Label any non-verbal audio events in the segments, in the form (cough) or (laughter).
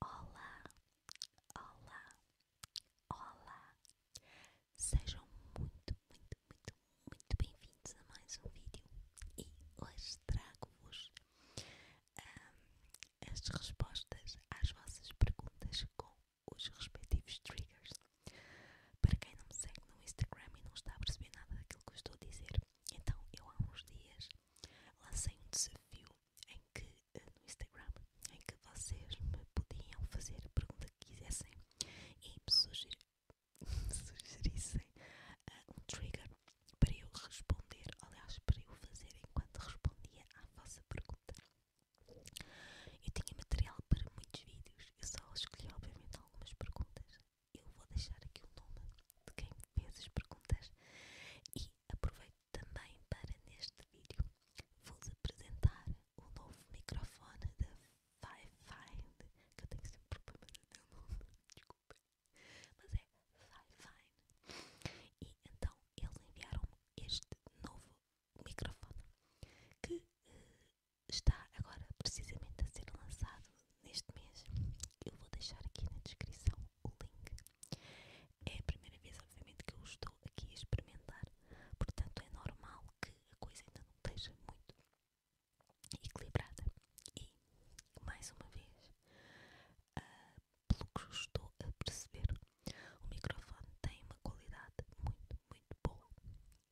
Olá, olá, olá! Sejam muito, muito, muito, muito bem-vindos a mais um vídeo e hoje trago-vos um, as respostas às vossas perguntas com os respectivos triggers. Para quem não me segue no Instagram e não está a perceber nada daquilo que eu estou a dizer, então eu há uns dias lancei um desafio em que eh, no Instagram em que vocês me podiam fazer a pergunta que quisessem e me sugerir, (laughs) sugerissem eh, um trigger para eu responder, aliás, para eu fazer enquanto respondia à vossa pergunta. Eu tinha material para muitos vídeos, eu só escolhi, obviamente, algumas perguntas. Eu vou deixar aqui o nome de quem fez as perguntas e aproveito também para neste vídeo vos apresentar o novo microfone da Five Find, que eu tenho sempre problemas até o nome, desculpa. Mas é Fine. fine. E então eles enviaram-me este novo microfone que eh, está agora precisamente a ser lançado neste mês. Eu vou deixar aqui na descrição o link. É a primeira vez, obviamente, que eu estou aqui a experimentar, portanto é normal que a coisa ainda não esteja muito equilibrada. E mais uma vez, uh, pelo que estou a perceber, o microfone tem uma qualidade muito, muito boa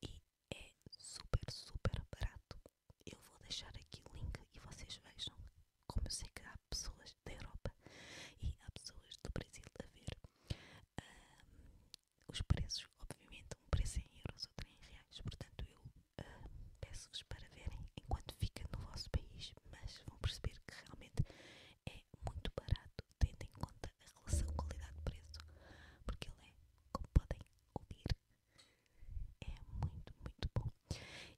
e é super, super barato. Eu vou deixar aqui o link e vocês vejam. Como eu sei que há pessoas da Europa e há pessoas do Brasil a ver ah, os preços, obviamente, um preço em euros, outro em reais, portanto eu peço-vos para verem enquanto fica no vosso país, mas vão perceber que realmente é muito barato, tendo em conta a relação qualidade-preço, porque ele é, como podem ouvir, é muito, muito bom.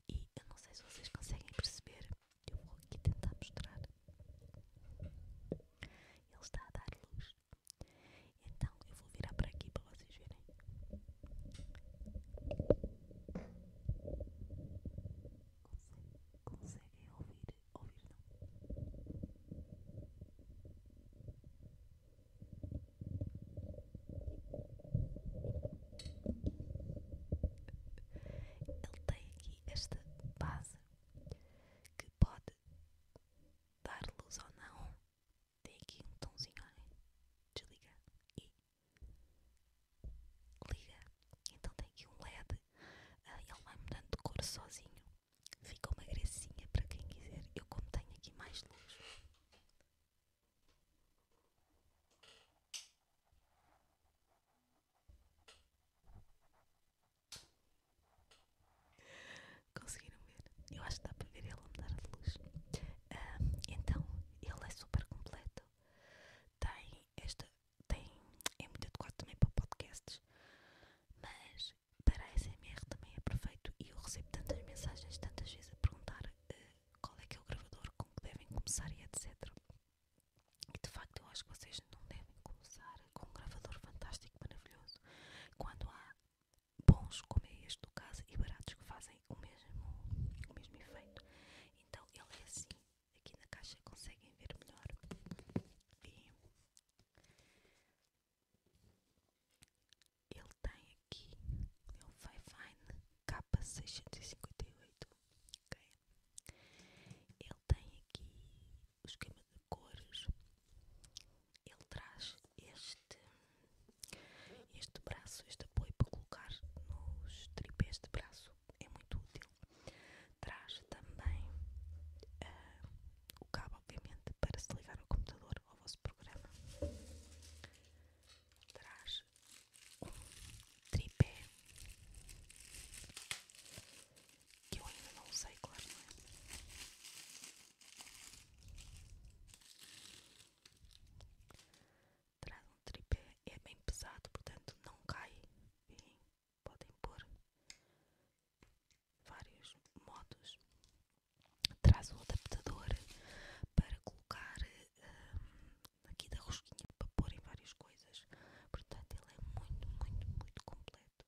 E eu não sei se vocês conseguem perceber, eu vou aqui tentar mostrar. Ele está a dar luz. Então eu vou virar para aqui para vocês verem. Consegue, conseguem ouvir? Ouvir não? Ele tem aqui esta base que pode dar luz ou não. Tem aqui um tomzinho, olha. Desliga e liga. Então tem aqui um LED e ah, ele vai mudando de cor sozinho. Fica uma gracinha para quem quiser. Eu, como tenho aqui mais luz. Conseguiram ver? Eu acho que dá para ver ele a mudar de luz. Ah, então, ele é super completo. Tem, esta, tem, é muito adequado também para podcasts, mas para a SMR também é perfeito e eu recebo tantas mensagens, tantas vezes a perguntar eh, qual é que é o gravador, com que devem começar e etc. E de facto eu acho que vocês não devem começar com um gravador fantástico, maravilhoso, quando há bons, como é este do caso, e baratos que fazem fazem o mesmo, o mesmo efeito. Então ele é assim, aqui na caixa conseguem ver melhor. E ele tem aqui, é o Fivine K658, ok? Ele tem aqui o esquema de cores, ele traz este este braço, este apoio para colocar nos tripés de braço é muito útil. Traz também ah, o cabo, obviamente, para se ligar ao computador ou ao vosso programa. Traz um tripé que eu ainda não sei claro, não é? traz um tripé, é bem pesado, portanto não cai. podem pôr vários modos. Traz um adaptador para colocar hum, aqui da rosquinha para pôr em várias coisas. Portanto, ele é muito, muito, muito completo.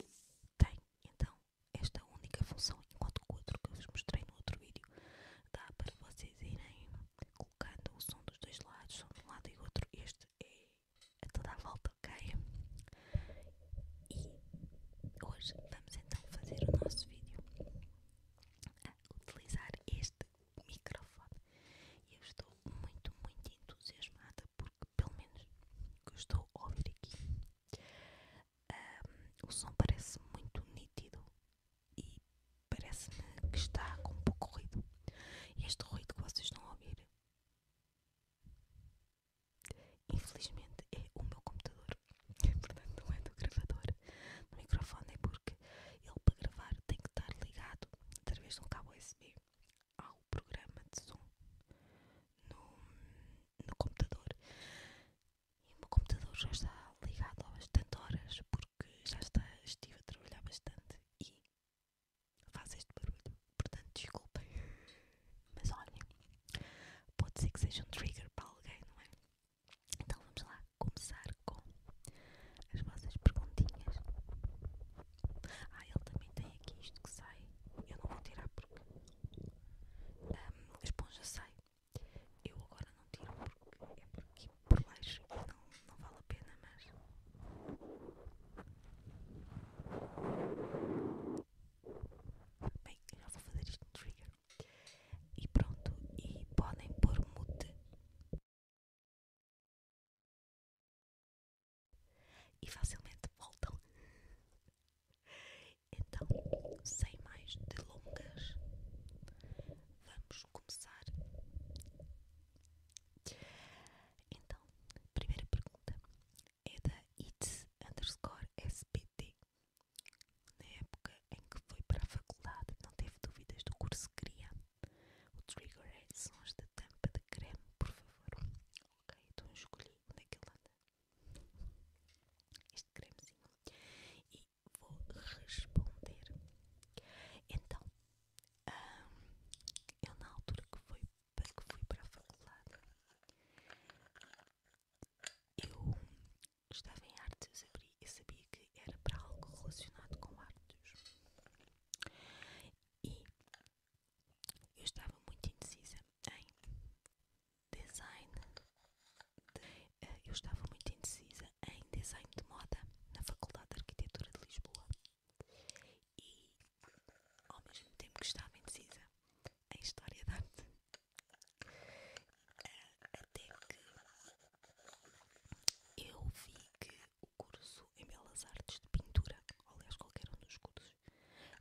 E tem então esta única função, enquanto o outro que eu vos mostrei no outro vídeo dá para vocês irem colocando o som dos dois lados, som de um lado e outro. Este é a toda a volta, ok? E hoje vamos então fazer o nosso vídeo a utilizar este microfone. E eu estou muito, muito entusiasmada porque, pelo menos, o que ouvir aqui o som parece muito nítido e parece-me que está com pouco ruído. este ruído que vocês estão a ouvir, infelizmente, é o meu computador. (laughs) Portanto, não é do gravador, do microfone, é porque ele para gravar tem que estar ligado através de um cabo USB ao programa de som no computador. E o meu computador já está ligado há bastante horas porque já está, estive a trabalhar bastante e faz este barulho. Portanto, desculpem. (laughs) Mas olhem, pode ser que seja um trigger para alguém, não é? Então vamos lá começar com as vossas perguntinhas. Ah, ele também tem aqui isto que sai. Eu não vou tirar porque um, esponja sai. Eu agora não tiro porque é porque por baixo não, não vale a pena, mas bem, já vou fazer isto trigger. E pronto, e podem pôr mute. E facilmente voltam. Então, sem mais delongas, vamos começar. Então, a primeira pergunta é da It's underscore SPT. Na época em que foi para a faculdade, não teve dúvidas do curso que queria. O trigger é sons da tampa de creme, por favor. Ok, então eu escolhi onde é que ele anda este cremezinho e vou responder. Então, hum, eu na altura que fui, para a faculdade, eu estava em artes, eu eu sabia que era para algo relacionado com artes. E eu estava muito indecisa em design. Eh, eu estava muito indecisa em design de moda na Faculdade de Arquitetura de Lisboa e, ao mesmo tempo que estava indecisa em História da Arte, eh, até que eu vi que o curso em Belas Artes de Pintura, ou aliás, qualquer um dos cursos,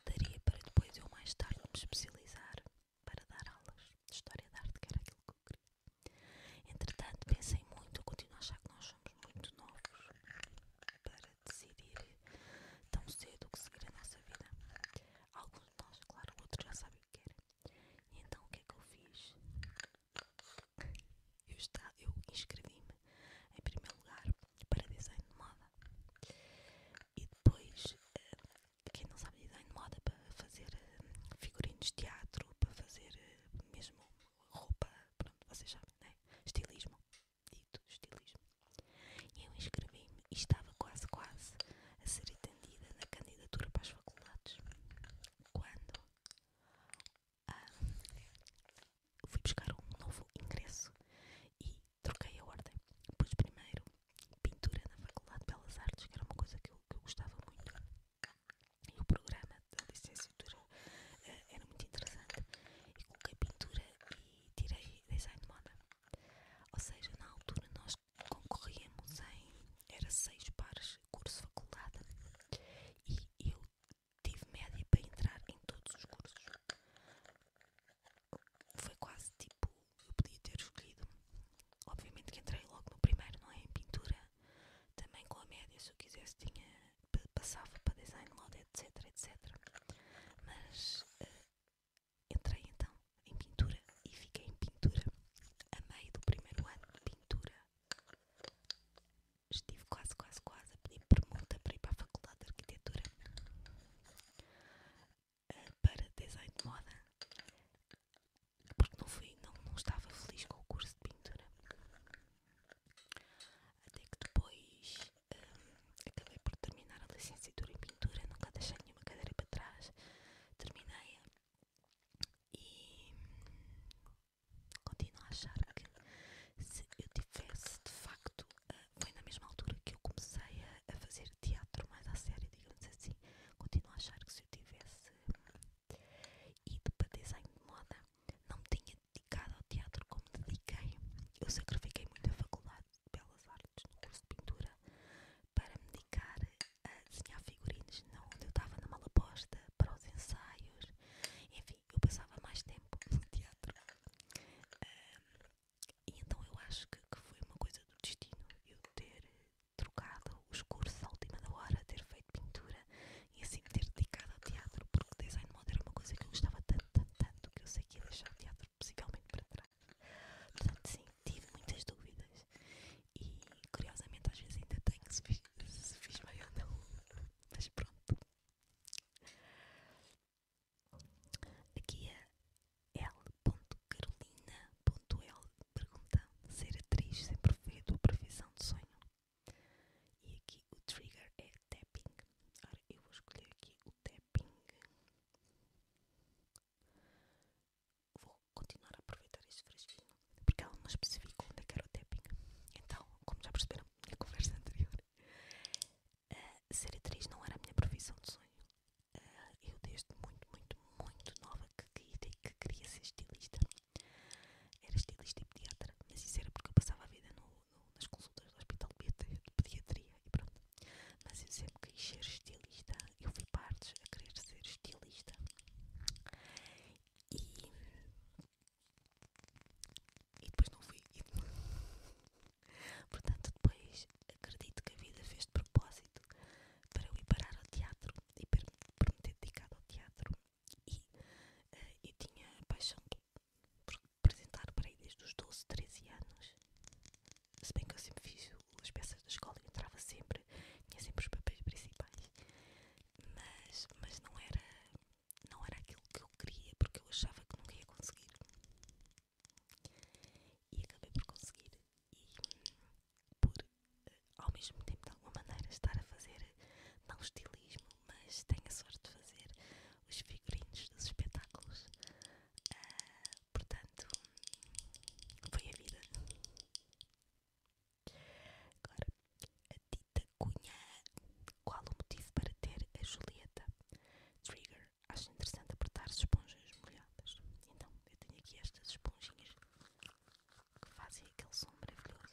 Daria para depois eu mais tarde me especializar para dar aulas de História da Arte, que era aquilo que eu queria. Entretanto, pensei muito, eu continuo a achar que nós somos muito novos para decidir tão cedo o que seguir a nossa vida. Alguns de nós, claro, outros já sabem o que querem. então o que é que eu fiz? Eu, está, eu inscrevi-me em primeiro lugar para design de moda. E depois, eh, quem não sabe design moda, para fazer eh, figurinos de teatro, para fazer eh, mesmo roupa, pronto, vocês sabem, né? Estilismo, dito estilismo. E eu inscrevi-me e estava quase, quase a ser atendida na candidatura para as faculdades. Quando ah, fui buscar um novo ingresso e troquei a ordem. Pus primeiro pintura na Faculdade de Belas Artes, que era uma coisa que eu, gostava muito. E o programa da licenciatura uh, era muito interessante. E coloquei pintura e tirei design de moda. Ou seja, na altura nós concorríamos em. Era seis pares, curso faculdade. E eu tive média para entrar em todos os cursos foi quase tipo, eu podia ter escolhido. Obviamente que entrei logo no primeiro, não é? Em pintura, também com a média, se eu quisesse, tinha, passava para design load, etc, etc. Mas eh, entrei então em pintura e fiquei em pintura a meio do primeiro ano de pintura. Estive quase, quase, quase a pedir permuta para ir para a Faculdade de Arquitetura para design de moda porque não, fui, não, não estava feliz com o curso de pintura. Até que depois hum, acabei por terminar a licenciatura em pintura, nunca deixei nenhuma cadeira para trás, terminei-a e continuo a achar que se eu tivesse de facto foi na mesma altura que eu comecei a, fazer teatro mais à sério, digamos assim. Continuo a achar que se eu tivesse hum, ido para desenho de moda, não me tinha dedicado ao teatro como dediquei. Eu sacrifiquei muito a faculdade de Belas Artes, no curso de pintura, para me dedicar a desenhar figurinos não, onde eu estava na mala posta, para os ensaios. Enfim, eu passava mais tempo no teatro. Hum, então eu acho que, foi uma coisa do destino eu ter eh, trocado os cursos à última hora, ter feito pintura e assim ter dedicado ao teatro, porque o design moda era uma coisa que eu gostava tanto, tanto, tanto que eu sei que ia deixar o teatro possivelmente para trás. Portanto, sim, tive muitas dúvidas e curiosamente às vezes ainda tenho se fiz, se fiz bem ou não, mas pronto. Aqui a é L.Carolina.L pergunta: Ser atriz sempre foi a tua previsão de sonho? E aqui o trigger é tapping. Ora, eu vou escolher aqui o tapping. Vou continuar a aproveitar este fresquinho porque ela não especifica onde é que era o tapping. Então, como já perceberam na conversa anterior, eh, ser atriz não era a minha profissão de sonho eu desde muito, muito, muito nova que, que, que queria ser estilista. Era estilista e pediatra, mas isso era porque eu passava a vida nas consultas do hospital de pediatria e pronto. Mas eu sempre quis ser estilista, eu fui partes a querer ser estilista. E, e depois não fui. (laughs) Portanto, depois acredito que a vida fez de propósito para eu ir parar ao teatro e para me ter dedicado ao teatro. E eh, eu tinha paixão por apresentar para aí desde os 12, 13 anos. Se bem que eu sempre fiz as peças da escola e entrava sempre, tinha sempre os papéis principais. Mas, mas não, era, não era aquilo que eu queria, porque eu achava que nunca ia conseguir. E acabei por conseguir e por, eh, ao mesmo tempo, de alguma maneira, estar a fazer, não estilismo, mas tenho a sorte de fazer os figurinos dos espetáculos. Ah, portanto, foi a vida. Agora, a Dita Cunha. Qual o motivo para ter a Julieta? Trigger acho interessante apertar as esponjas molhadas. Então, eu tenho aqui estas esponjinhas que fazem aquele som maravilhoso.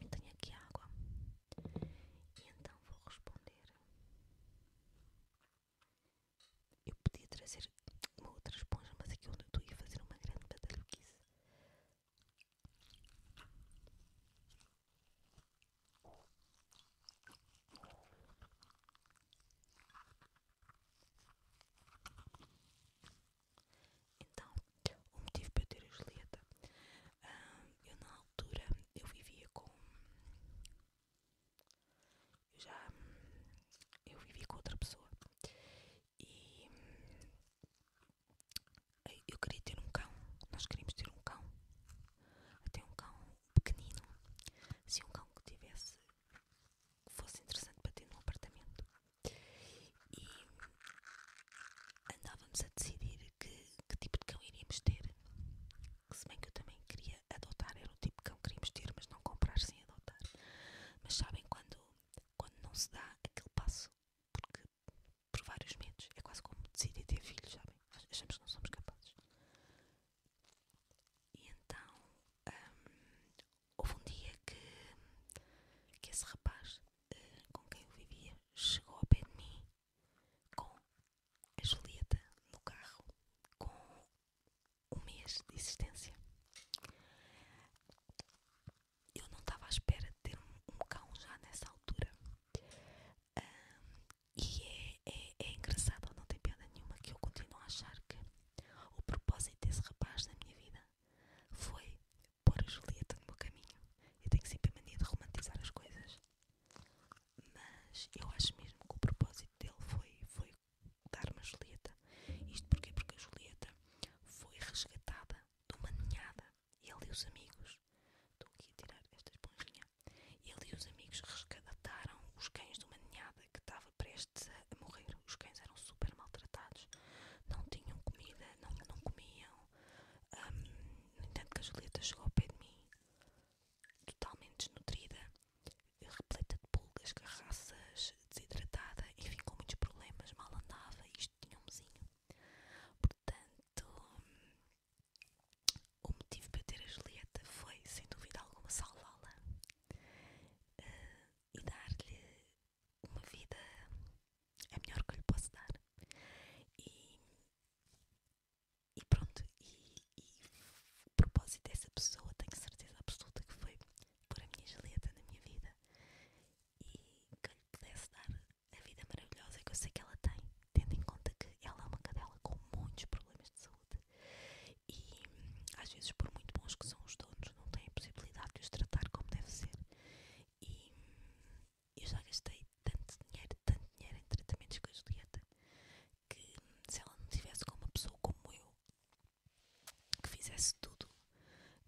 Eu tenho aqui água. E então vou responder. Eu podia trazer uma outra esponja, mas aqui onde eu estou ia fazer uma grande badalhoquice. Então, o motivo para eu ter a Julieta, eu na altura eu vivia com. Eu já. Eu vivia com outra pessoa e. Eu queria ter um cão, nós queríamos ter um cão, até um cão pequenino. Se um cão que tivesse que fosse interessante para ter num apartamento. E andávamos a decidir que, tipo de cão iríamos ter. Se bem que eu também queria adotar, era o tipo de cão que queríamos ter, mas não comprar sem adotar. Mas sabem quando, quando não se dá aquele passo, porque por vários medos, é quase como decidir ter filhos, sabem? Achamos que não somos capazes. E então hum, houve um dia que, que esse rapaz eh, com quem eu vivia chegou ao pé de mim com a Julieta no carro com um mês de existência. Eu não estava à espera de ter um, um cão já nessa altura. Hum, e é, é, é engraçado, não tem piada nenhuma, que eu continuo a achar que o propósito desse rapaz na minha vida foi pôr a Julieta no meu caminho. Eu tenho sempre a mania de romantizar as coisas, mas eu acho mesmo que o propósito dele foi, foi dar uma a Julieta. Isto porquê? Porque a Julieta foi resgatada de uma ninhada. Ele e os amigos, estou aqui a tirar esta esponjinha, ele e os amigos resgataram os cães de uma ninhada que estavam estava prestes a morrer. Os cães eram super maltratados, não tinham comida, não, comiam. Um, no entanto, que a Julieta chegou ao pé de mim, totalmente desnutrida, repleta de pulgas, carraças, desidratada, enfim, com muitos problemas, mal andava, isto tinha um vizinho. Portanto, hum, o motivo para ter a Julieta foi, sem dúvida alguma, salvá-la. Eh, e dar-lhe uma vida a é melhor que eu lhe posso dar. E, pronto, e, o propósito dessa pessoa, tenho certeza absoluta que foi pôr a minha Julieta na minha vida e que eu lhe pudesse dar a vida maravilhosa que eu sei que ela tem, tendo em conta que ela é uma cadela com muitos problemas de saúde e às vezes por muito bons que são os donos não têm a possibilidade de os tratar como deve ser e eu já gastei tanto dinheiro, tanto dinheiro em tratamentos com a Julieta que se ela não tivesse com uma pessoa como eu que fizesse tudo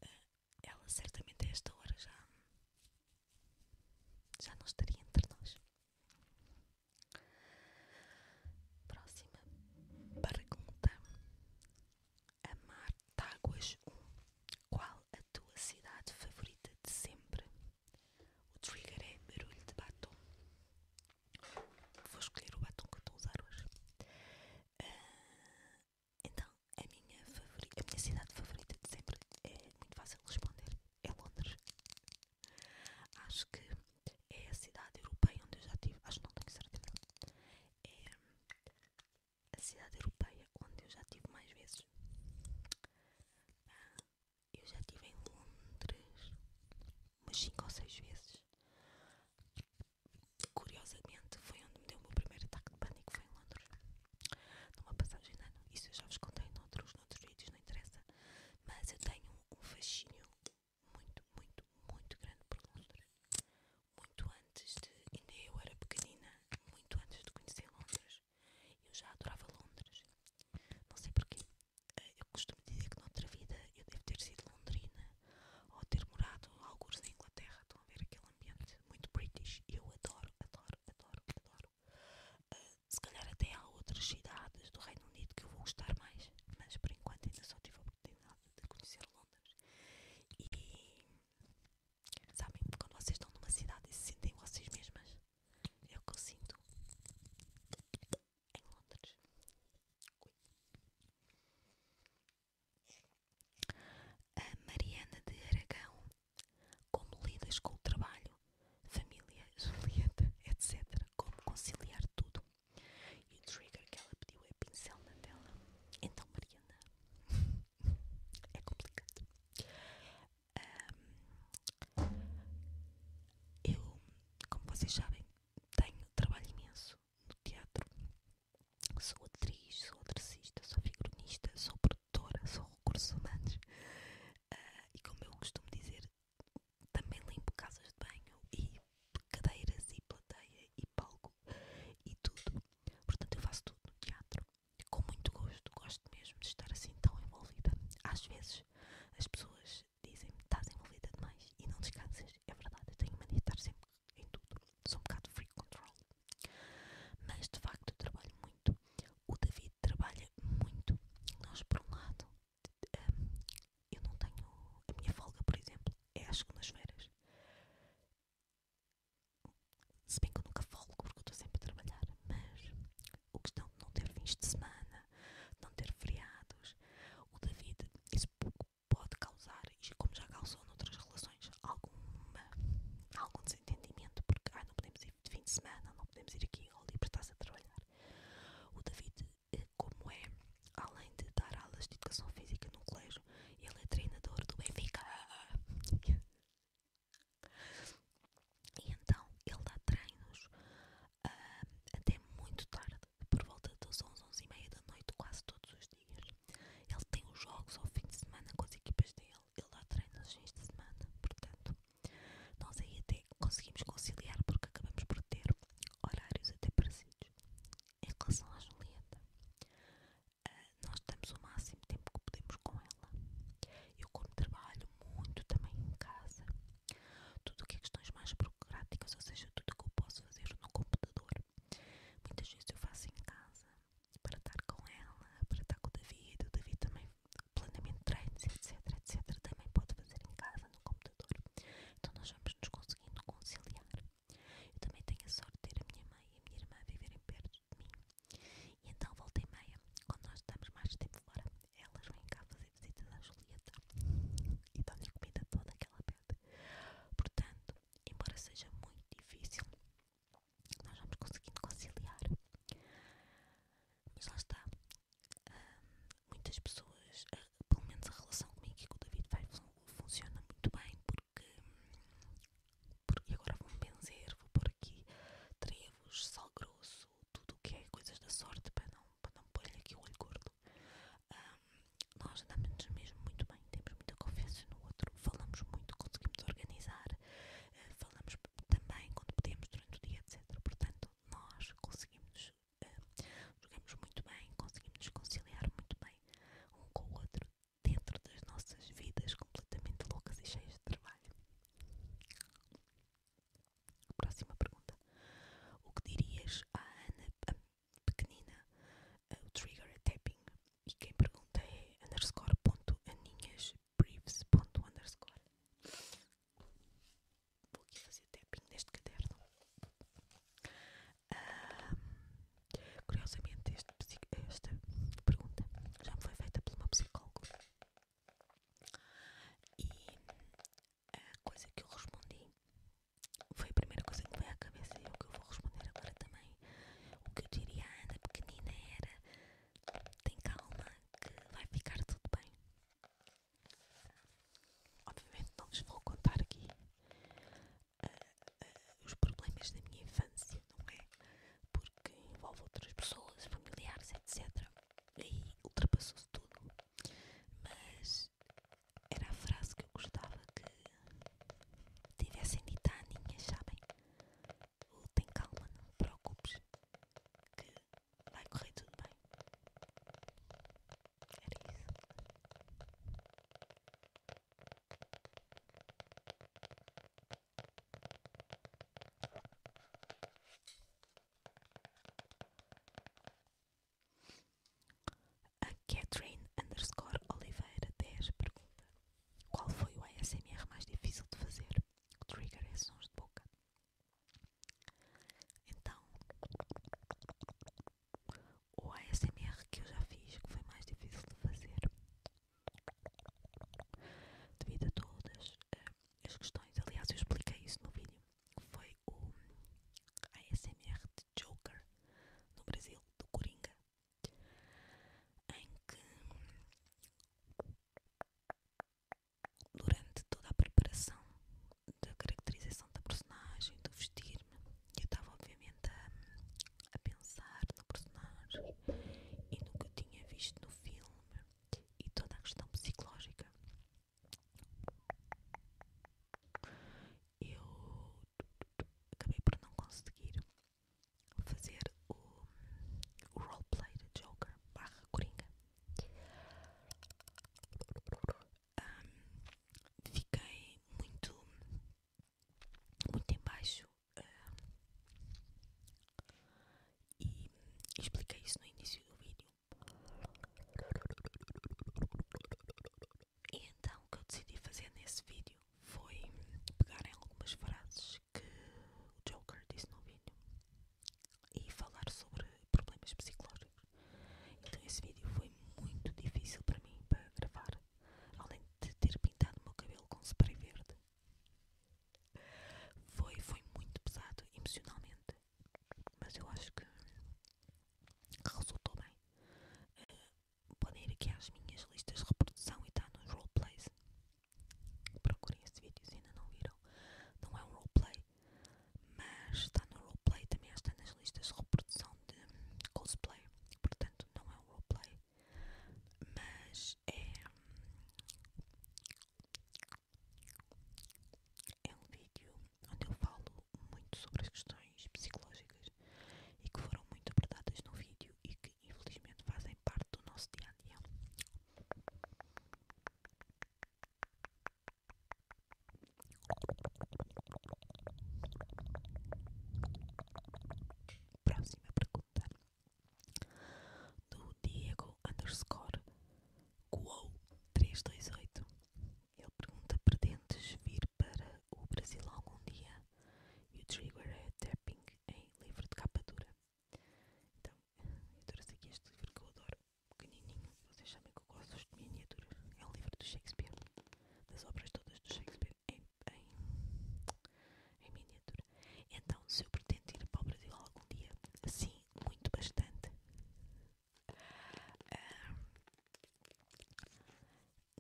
eh, ela certamente a esta hora já já não estaria entre nós Próxima pergunta. Amar Táguas 1. Qual a tua cidade favorita de sempre? O trigger é barulho de batom. Vou escolher o batom que eu estou a usar hoje. Ah, então, a minha, a minha cidade favorita de sempre é muito fácil de responder. É Londres. Acho que é a cidade europeia onde eu já tive. Acho que não tenho certeza. É a cidade europeia onde eu já tive mais vezes. Ah, eu já tive em Londres umas 5 ou 6 vezes. Curiosamente, foi onde me deu o meu primeiro ataque de pânico. Foi em Londres, não vou passar de ano. Isso eu já vos contei noutros, noutros vídeos, não interessa. Mas eu tenho um fascínio muito, muito, muito grande por Londres. Muito antes de. ainda eu era pequenina, muito antes de conhecer Londres, eu já adorava Londres. Não sei porquê. Eh, eu costumo dizer que noutra vida eu devo ter sido londrina ou ter morado alguns na Inglaterra. Estão a ver aquele ambiente muito british. Eu adoro, adoro, adoro, adoro. Eh, se calhar até há outras cidades do Reino Reino Unido que eu vou gostar mais, mas por enquanto ainda só tive a oportunidade de conhecer Londres. E sabem, quando vocês estão numa cidade e se sentem vocês mesmas, é o que eu sinto em Londres. Ui. A Mariana de Aragão, como lidas com o trabalho, família, (laughs) Julieta, etc. Como conciliar tudo? E o trigger que ela pediu é pincel na tela. Então, Mariana, (laughs) é complicado. eu, como vocês sabem, tenho trabalho imenso no teatro. Sou atriz, sou atracista, sou figurinista, sou produtora, sou recursos humanos. Ah, e como eu costumo dizer, também limpo casas de banho e cadeiras e plateia e palco e tudo. Portanto, eu faço tudo no teatro com muito gosto. Gosto mesmo de estar assim tão envolvida. Às vezes as pessoas dizem-me: estás envolvida demais e não descansas. É verdade, eu tenho mania de estar sempre em tudo. Sou um bocado free control. Mas de facto, trabalho muito. O David trabalha muito. Nós, por um lado, eu não tenho. A minha folga, por exemplo, é às segundas-feiras. Se bem que eu nunca folgo porque estou sempre a trabalhar, mas o questão de não ter fins de semana, não ter feriados, o David, isso pouco pode causar, e como já causou noutras relações, alguma, algum desentendimento, porque não podemos ir de fim de semana, não podemos ir aqui, ou livre está-se a trabalhar. O David como é, além de dar aulas de educação física no colégio, ele é treinador do Benfica. E então ele dá treinos ah, até muito tarde, por volta das 11, 11 e meia da noite, quase todos os dias. Ele tem os jogos ao fim de semana com as equipas dele, ele dá treinos aos fins de semana, portanto, nós aí até conseguimos conciliar porque acabamos por ter horários até parecidos. Em relação à Julieta, ah, nós damos o máximo tempo que podemos com ela. Eu, como trabalho muito também em casa, tudo o que é questões mais burocráticas, ou seja, tudo o que eu posso fazer no computador, muitas vezes eu faço em casa para estar com ela, para estar com o David. O David também, planeamento de treinos, etc, etc, também pode fazer em casa no computador. Então nós vamos nos conseguindo conciliar. Eu também tenho a sorte de ter a minha mãe e a minha irmã viverem perto de mim. E então volta e meia, quando nós estamos mais tempo fora, elas vêm cá fazer visitas à Julieta e dão-lhe a comida toda que pede. Portanto, embora seja muito difícil, nós vamos conseguindo conciliar. Mas lá está. Um, muitas pessoas, pelo menos a relação comigo e com o David vai, funciona muito bem porque, porque agora vou-me benzer, vou pôr aqui trevos, sal grosso, tudo o que é coisas da sorte para não, para não pôr-lhe aqui o olho gordo. nós andamos mesmo muito bem, temos muita confiança no outro, falamos muito, conseguimos organizar, eh, falamos também quando podemos durante o dia, etc. Portanto, nós conseguimos uh, jogamos muito bem, conseguimos nos conciliar muito bem um com o outro dentro das nossas vidas completamente loucas e cheias de trabalho. Próxima pergunta. O que dirias à Ana a pequenina? Eh, o trigger é tapping. E quem pergunta é underscore ponto aninhas ponto underscore. Vou aqui fazer tapping neste caderno curiosamente, esta pergunta já me foi feita por uma psicóloga e a coisa que eu respondi foi a primeira coisa que me veio à cabeça e é o que eu vou responder agora também. O que eu diria à Ana pequenina era: tem calma, que vai ficar tudo bem. Obviamente não lhes vou contar aqui eh, eh, os problemas da minha infância, não é? Porque envolve outras pessoas, familiares, etc. E ultrapassou-se tudo. Mas era a frase que eu gostava que tivessem dito à Aninha, sabem? ou tem calma, não te preocupes, que vai correr tudo bem. Era isso. A Catherine Oliveira dez pergunta: Qual foi o ASMR mais difícil de fazer? O trigger é sons de boca. Então, o ASMR que eu já fiz, que foi mais difícil de fazer devido a todas eh, as questões. Aliás, eu expliquei isso no vídeo. Foi o ASMR de Joker no Brasil, do Coringa, em que durante toda a preparação da caracterização da personagem, do vestir-me, eu estava obviamente a, pensar no personagem e no que eu tinha visto no filme e toda a questão psicológica. Eu acabei por não conseguir fazer o, o roleplay de Joker barra Coringa fiquei muito, muito embaixo e expliquei isso no início do vídeo. E então o que eu decidi fazer nesse vídeo foi pegar em algumas frases que o Joker disse no vídeo e falar sobre problemas psicológicos. Então esse vídeo foi muito difícil para mim para gravar, além de ter pintado o meu cabelo com spray verde. Foi, foi muito pesado emocionalmente, mas eu acho que resultou bem. Eh, podem ir aqui às minhas listas de reprodução e está nos roleplays. Procurem esse vídeo se ainda não viram. Não é um roleplay, mas está no roleplay também está nas listas de reprodução de cosplay, portanto não é um roleplay, mas é, é um vídeo onde eu falo muito sobre as questões psicológicas e que foram muito abordadas no vídeo e que infelizmente fazem parte do nosso dia a dia. Próxima pergunta do Diego underscore Quo 328. Ele pergunta: Pretendes vir para o Brasil algum dia? E o trigger é tapping em livro de capa dura. Então, eu trouxe aqui este livro que eu adoro, pequenininho, vocês sabem que eu gosto de miniaturas. É um livro do Shakespeare, das obras todas do Shakespeare em, miniatura. Então, se eu pretendo ir para o Brasil algum dia, sim, muito bastante. Ah,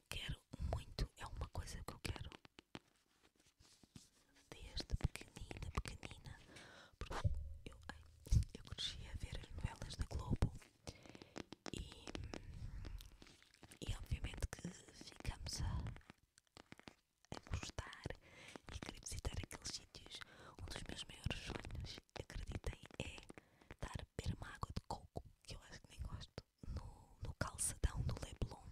quero muito, é uma coisa que eu quero desde pequenina, pequenina, porque eu, eu cresci a ver as novelas da Globo e, obviamente que ficamos a, a gostar e a querer visitar aqueles sítios. Um dos meus maiores sonhos, acreditem, é dar a uma água de coco, que eu acho que nem gosto, no, no calçadão do Leblon.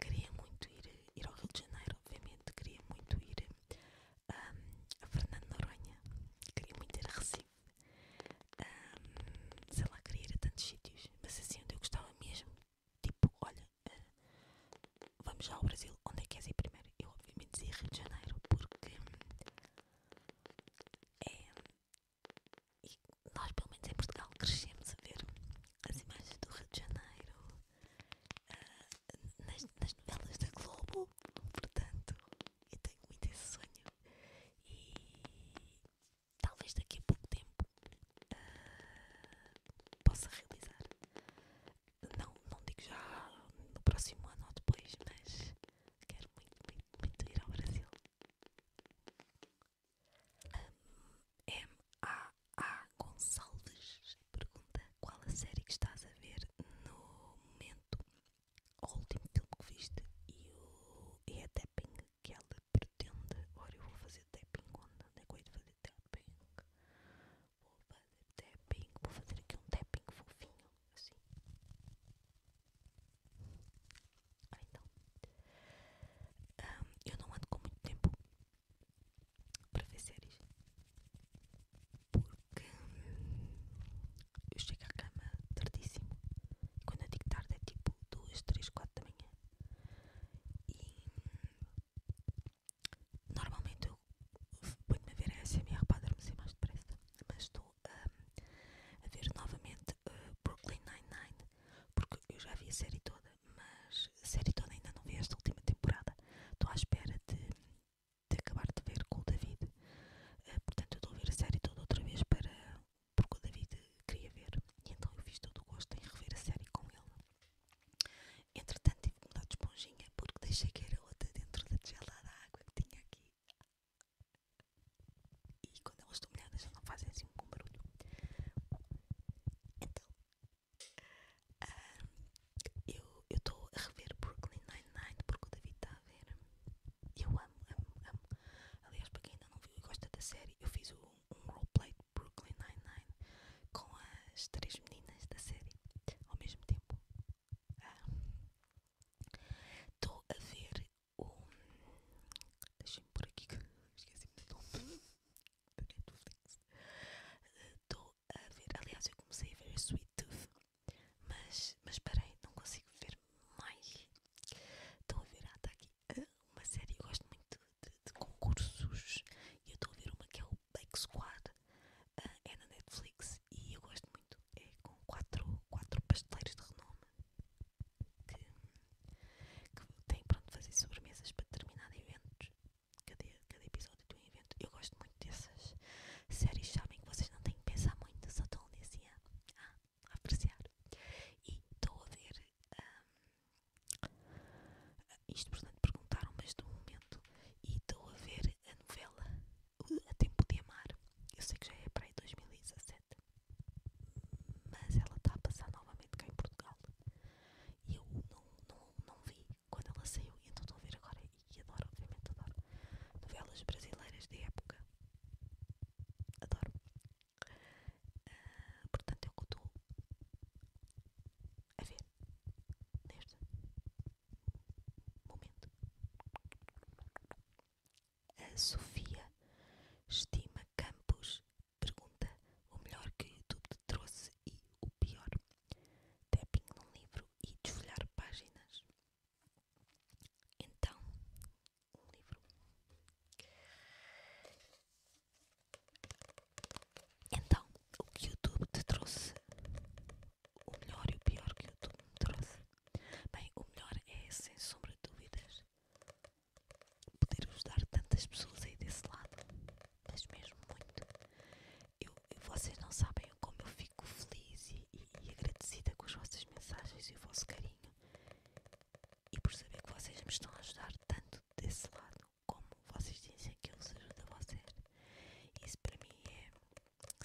Queria muito ir, ir ao Rio de Janeiro, obviamente, queria muito ir a Fernando Noronha, queria muito ir a Recife, sei lá, queria ir a tantos sítios, mas assim onde eu gostava mesmo, tipo, olha, ah, vamos já ao Brasil, onde é que queres ir primeiro? Eu obviamente dizia Rio de Janeiro, porque é, nós pelo menos em Portugal crescemos a ver as imagens do Rio de Janeiro ah, nas novelas da Globo, portanto e tenho muito esse sonho e talvez daqui a pouco tempo ah, possa realizar. Não, não digo já no próximo ano ou depois, mas quero muito, muito, muito ir ao Brasil. M A A Gonçalves pergunta qual a série que estás a ver no momento o último filme que viste e, o, e é tapping que ela pretende. Ora, eu vou fazer tapping quando não é coisa de fazer tapping. Vou fazer tapping, vou fazer aqui um tapping fofinho, assim. Ah, então. eu não ando com muito tempo para ver séries. Porque eu chego à cama tardíssimo. quando eu digo tarde é tipo 2, 3, 4 da manhã. E normalmente eu ponho-me a ver a SMR para adormecer mais depressa. Mas estou hum, a ver novamente uh, Brooklyn Nine-Nine. Porque eu já vi a série toda, mas a série toda ainda não vi esta última temporada. Estou à espera de de acabar de ver com o David. Eh, portanto, eu estou a ver a série toda outra vez para, porque o David queria ver. E então eu fiz todo o gosto em rever a série com ele. Entretanto, tive que mudar de esponjinha porque deixei que era outra dentro da gelada água que tinha aqui. E quando elas estão molhadas, já não fazem assim um bom barulho. Então, ah, eu estou a rever Brooklyn Night Night porque o David está a ver. Eu amo, amo, amo. Aliás, para quem ainda não viu e gosta da série, eu fiz um, roleplay de Brooklyn Nine-Nine com as três meninas da série ao mesmo tempo. Estou ah, a ver o. Deixem-me por aqui que esqueci-me do nome da Estou ah, a ver. Aliás, eu comecei a ver o Sweet Tooth mas, mas parei, não consigo ver mais. Estão a ver, ah, está aqui ah, uma série, eu gosto muito de, concursos. E eu estou a ver uma que é o Bake Squad, ah, é na Netflix e eu gosto muito. É com quatro, quatro pasteleiros de renome que, que têm pronto fazer sobremesas para determinado evento. Cada, cada episódio do evento. Eu gosto dessas séries, sabem que vocês não têm que pensar muito, só estão assim a ah, apreciar. E estou a ver. Um, isto, portanto, perguntaram, mas do momento. E estou a ver a novela A Tempo de Amar. Eu sei que já é para aí 2017, mas ela está a passar novamente cá em Portugal. E eu não, não, não vi quando ela saiu, então estou a ver agora e adoro, obviamente adoro. Novelas brasileiras de época. Adoro. Ah, portanto, é o que estou a ver neste momento. A Sofia Estima Campos pergunta o melhor que o YouTube te trouxe e o pior. Tapping num livro e desfolhar páginas. Então, o livro Então, o que o YouTube te trouxe? O melhor e o pior que o YouTube me trouxe? Bem, o melhor é, sem sombra de dúvidas, poder ajudar tantas pessoas aí desse lado, mas mesmo muito. Eu, vocês não sabem como eu fico fico feliz e, agradecida com as vossas mensagens e o vosso carinho e por saber que vocês me estão a ajudar tanto desse lado como vocês dizem que eu vos ajudo a vocês. Isso para mim é,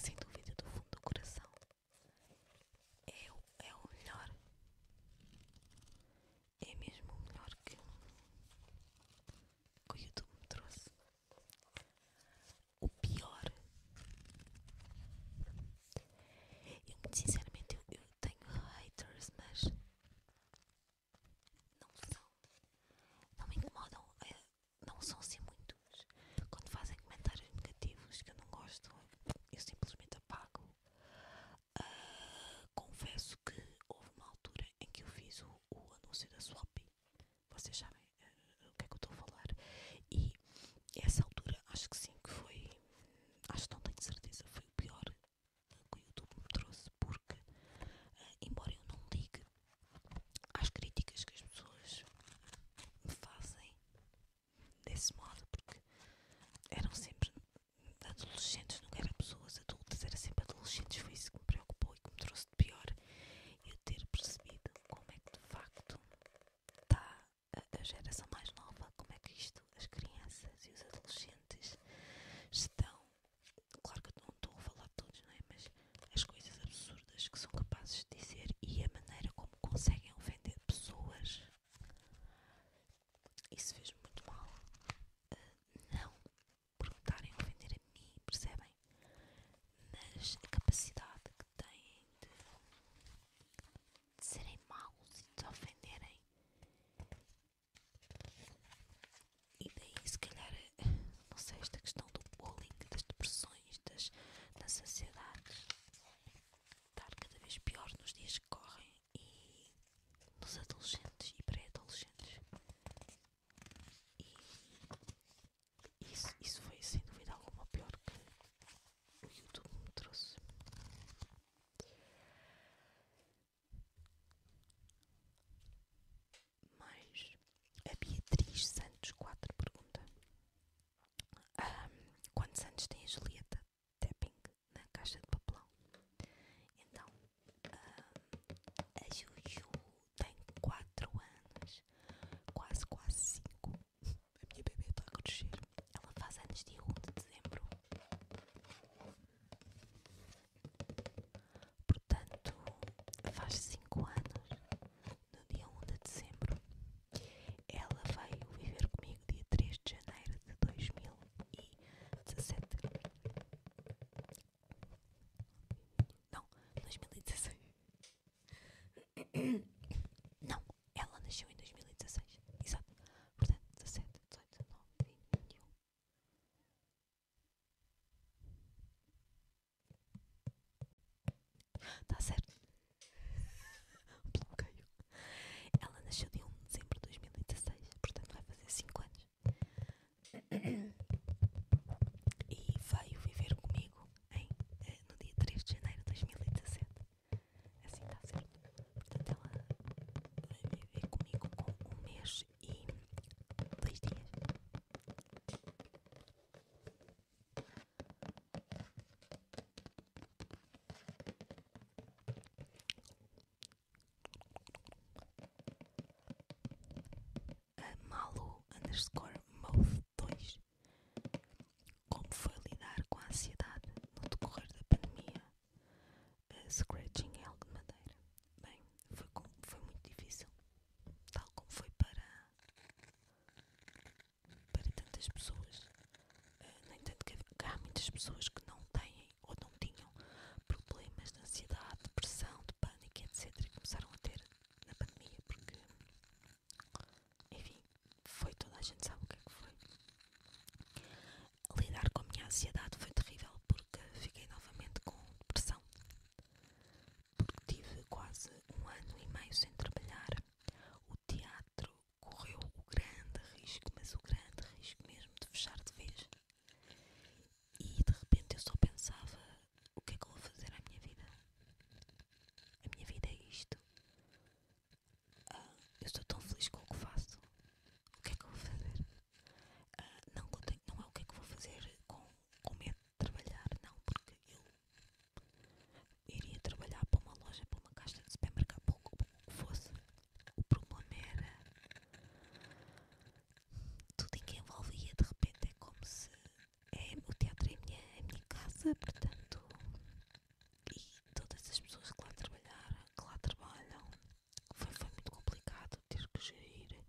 sem dúvida, do fundo do coração. É, o, é melhor. É mesmo o melhor que, que o YouTube me trouxe o pior. Eu, muito sinceramente, eu, tenho haters, mas não são, não me incomodam, eh, não são assim muitos. Quando fazem comentários negativos que eu não gosto, eu simplesmente apago. Ah, confesso que houve uma altura em que eu fiz o, anúncio da Swap. Vocês sabem eh, o que é que eu estou a falar. E essa altura, acho que sim, que foi, acho que não tenho certeza, foi o pior que o YouTube me trouxe, porque, eh, embora eu não ligue às críticas que as pessoas me fazem desse modo, porque eram sempre adolescentes, não eram pessoas adultas, eram sempre adolescentes, foi isso que me preocupou e que me trouxe de pior. Eu ter percebido como é que de facto está a, geração mais nova, como é que isto, as crianças e os adolescentes estão, claro que não estou a falar de todos, não é? Mas as coisas absurdas que são capazes de dizer e a maneira como conseguem ofender pessoas, isso fez muito mal. Ah, não perguntarem a ofender a mim, percebem? Mas a capacidade têm de, serem maus e de ofenderem. E daí, se calhar, não sei, esta questão do bullying, das depressões, das, das ansiedades, estar cada vez pior nos dias que correm e nos adolescentes e pré-adolescentes. E isso, isso foi sem dúvida alguma pior que o YouTube me trouxe. Mas a Beatriz Santos 4 pergunta: um, Quantos anos tem a Julieta Tapping na caixa de papelão? Então, a Juju tem 4 anos, quase, quase 5. A minha bebê está a crescer. Ela faz anos dia 1 de dezembro. Portanto, faz 5 anos no dia 1 de dezembro. Ela veio viver comigo dia 3 de janeiro de 2017. Não, 2016. Não, ela nasceu em 2016. Exato. Portanto, 17, 18, 19, 20, 21. Está certo. (laughs) Bloqueio. Ela nasceu de 1 de dezembro de 2016. Portanto, vai fazer 5 anos. E veio viver comigo em, eh, no dia 3 de janeiro de 2017. É assim está certo. Portanto, ela vai viver comigo com um mês e dois dias. A Malu underscore mouth dois como foi lidar com a ansiedade no decorrer da pandemia? Uh, scratching é algo de madeira. Bem, foi, muito difícil, tal como foi para, para tantas pessoas. Uh, no que, que há muitas pessoas que não têm ou não tinham problemas de ansiedade, depressão, de pânico, etc. e começaram a ter na pandemia, porque enfim, foi toda a gente sabe o que é que foi. Lidar com a minha ansiedade foi terrível porque fiquei novamente com depressão. Porque tive quase um ano e meio sem trabalhar. O teatro correu o grande risco, mas o grande risco mesmo de fechar de vez. E de repente eu só pensava: o que é que eu vou fazer à minha vida? A minha vida é isto. Ah, eu estou tão feliz com o que faço. O que é que vou fazer? Ah, não, não é o que é que vou fazer com, com medo de trabalhar, não, porque eu iria trabalhar para uma loja, para uma caixa de supermercado, para o que fosse. O problema era tudo em que envolvia, de repente é como se é, o teatro é minha, é a minha casa, portanto e todas as pessoas que lá trabalharam, que lá trabalham, foi, muito complicado ter que gerir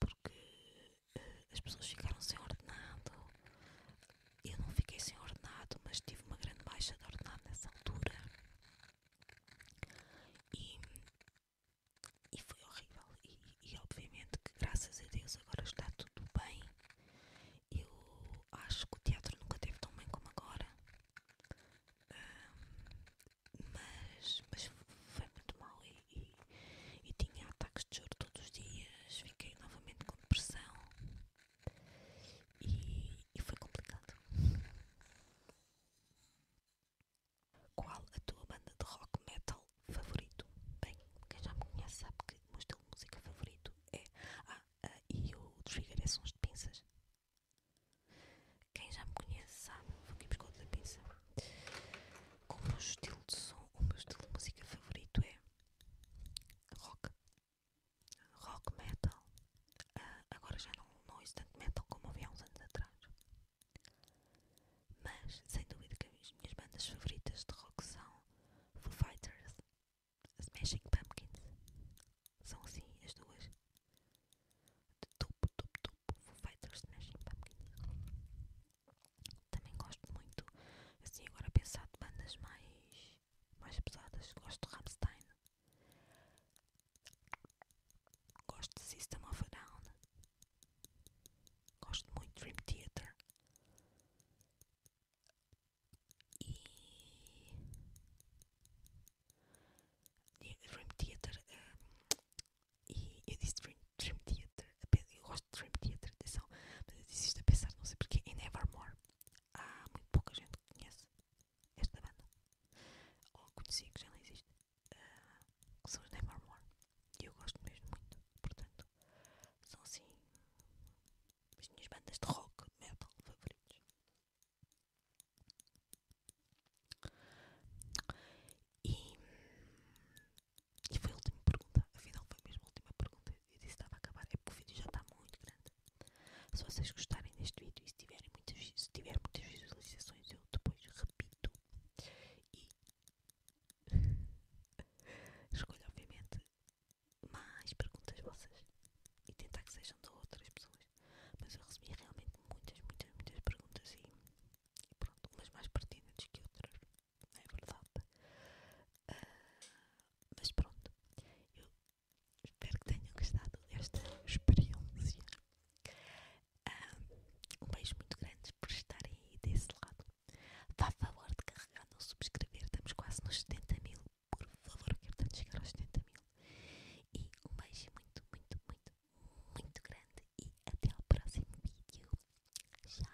porque eh, as pessoas ficaram sem ordenado. Eu não fiquei sem ordenado, mas tive uma grande baixa de ordenado nessa altura. E, foi horrível. e obviamente que graças a Deus agora está tudo bem. Eu acho que o teatro nunca teve tão bem como agora, mas, foi muito mal e, tinha ataques de choro todos os dias, fiquei novamente com depressão e, foi complicado. Qual a tua banda de rock metal favorito? Bem, quem já me conhece sabe que o meu estilo de música favorito é. Ah, e o trigger é sons de pinças. Quem já me conhece sabe, vou aqui buscar outra pinça. Como o estilo de som, o meu estilo de música favorito é rock, rock metal. Ah, agora já não, não ouço tanto metal como ouvi há uns anos atrás. Mas, sem dúvida que as minhas bandas favoritas de rock são Foo Fighters, Smashing Pumpkins. São assim as duas. De topo, topo, topo. vou fazer Smashing Pumpkins. Também gosto muito, assim agora pensar de bandas mais, mais pesadas. Gosto de Rammstein. Gosto de System of a Down. Gosto muito de Dream Theater e eh, Dream Theater eh, e eu disse Dream, Dream Theater eu gosto de Dream Theater, atenção mas eu disse isto a pensar, não sei porque em Nevermore há muito pouca gente que conhece esta banda ou conhecia que já não existe eh, que são os Nevermore e eu gosto mesmo muito, portanto são assim as minhas bandas de rock metal favoritos. E, e foi a última pergunta, afinal foi mesmo a última pergunta. Eu disse que estava a acabar, é porque o vídeo já está muito grande. Se vocês gostarem deste vídeo e se, tiverem muitas, se tiver muitas visualizações, eu depois repito e (laughs) escolho, obviamente, mais perguntas vossas e tentar que sejam de outras pessoas. Mas eu recebi realmente muitas, muitas, muitas perguntas e, pronto, umas mais pertinentes que outras, não é verdade? Ah, mas pronto, eu espero que tenham gostado desta experiência. Ah, um, beijo muito grande por estarem aí desse lado. Vá a favor de carregar no subscrever, estamos quase nos 70 mil por favor, quero tanto chegar aos 70 mil. E um beijo muito, muito, muito, muito grande. E até o próximo vídeo. Tchau!